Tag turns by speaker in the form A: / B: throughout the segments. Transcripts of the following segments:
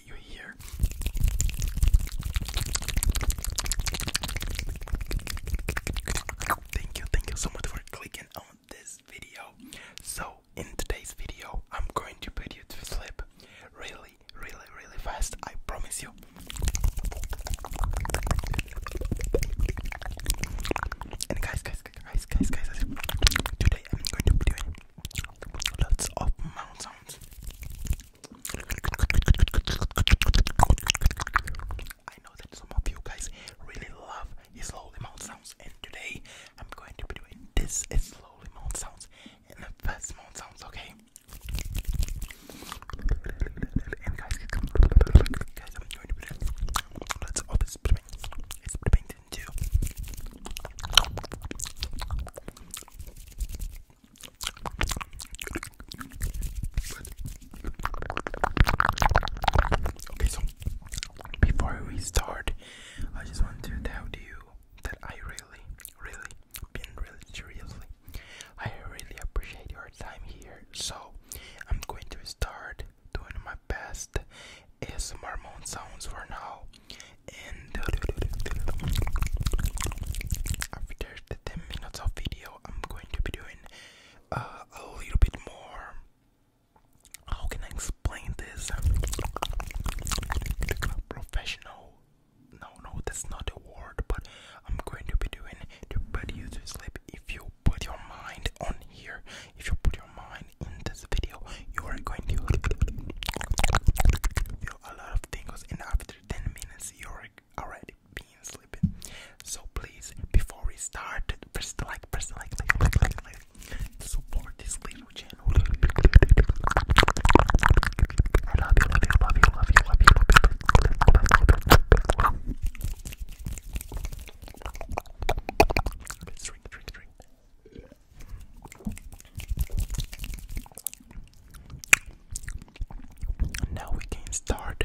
A: see you here. Thank you, thank you so much for clicking on this video. So, in today's video, I'm going to put you to sleep really, really, really fast. I promise you. And guys, guys, guys, guys, guys, guys, today I'm going to be doing lots of mouth sounds. I know that some of you guys really love slowly mouth sounds, and today I'm going to be doing this is slowly mouth sounds and the fast mouth sounds, okay? And guys, guys, I'm going to let's all this into Okay, so before we start, I just want to tell you that I really, really, been really seriously, I really appreciate your time here. So I'm going to start doing my best as ASMR sounds for now, after the 10 minutes of video, I'm going to be doing uh, a little bit more. How can I explain this? Professional. No, no, that's not a word, but I'm going to be doing to put you to sleep. If you put your mind on here, if you put your mind in this video, you are going to feel a lot of tingles. And after after 10 minutes you're already being sleepy. So please, before we start, press the like, press the like, like, like, like, like. Support this little channel. I love you, love you, love you, love you, love you, love you. Love you. Let's drink, drink, drink. Now we can start.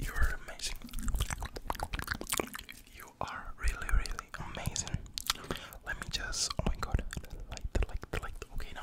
A: You are amazing. You are really, really amazing. Let me just. Oh my god. light, light, light. Okay, now.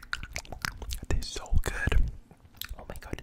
A: It tastes so good. Oh my god.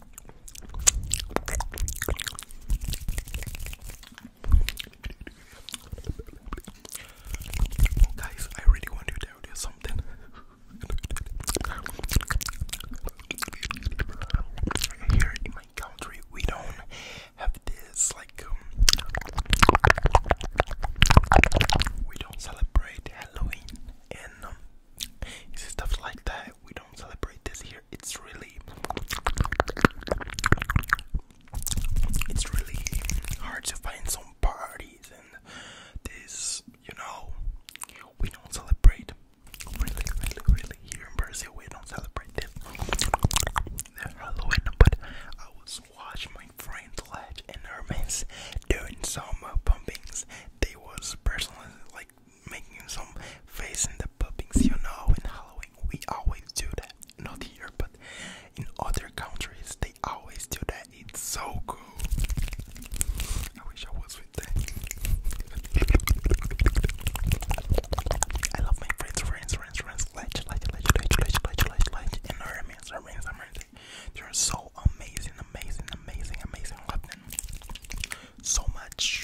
A: Guys, I really want to tell something. Here in my country, we don't have this like um, we don't celebrate Halloween and um, stuff like that. We don't celebrate this here. It's really, it's really hard to find some parties and this, you know, we don't celebrate. Really, really, really here in Brazil, we don't celebrate this. The Halloween, but I was watching my friend Ledge and Hermes doing some pumpings. They was personally like making some faces in the puppings, you know, in Halloween. We always do that. Not here, but in other countries they always do that. It's so cool. I wish I was with them. I love my friends, friends, friends, friends. Ledge, ledge, ledge, ledge, ledge, ledge, ledge, ledge. And our amazing, our amazing, amazing. They're so amazing, amazing, amazing, amazing. I so much.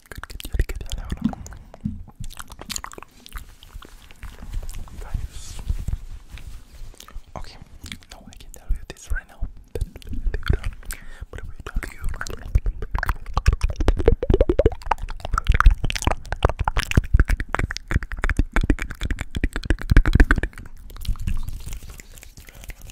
A: Guys. Okay, no, I can tell you this right now. But I will tell you.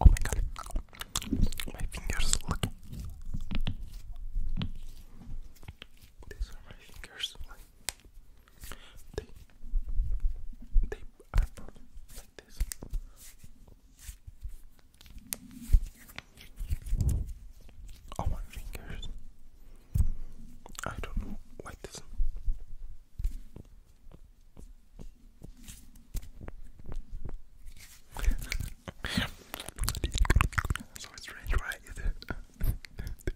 A: Oh my god. My fingers look. These are my fingers. Like they, they my fingers. I don't know this. so strange, right?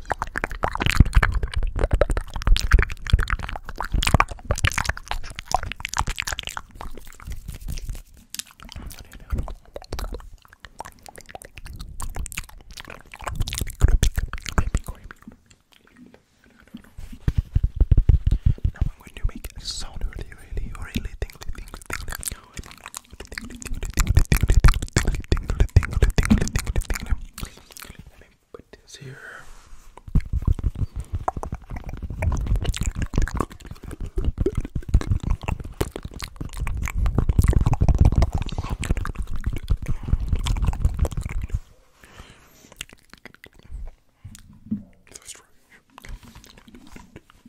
A: Now I'm going to make a sound really, really, really tingly, tingly, tingly. Let me put this here.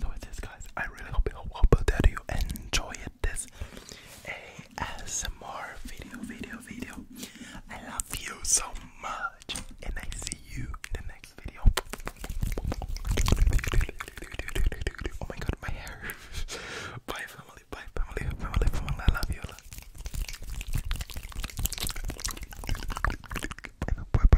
A: So it is, guys. I really hope, you hope that you enjoy this ASMR video, video, video. I love you so much, and I see you in the next video. Oh my god, my hair. Bye, family. Bye, family. Family, family. I love you. bye, bye,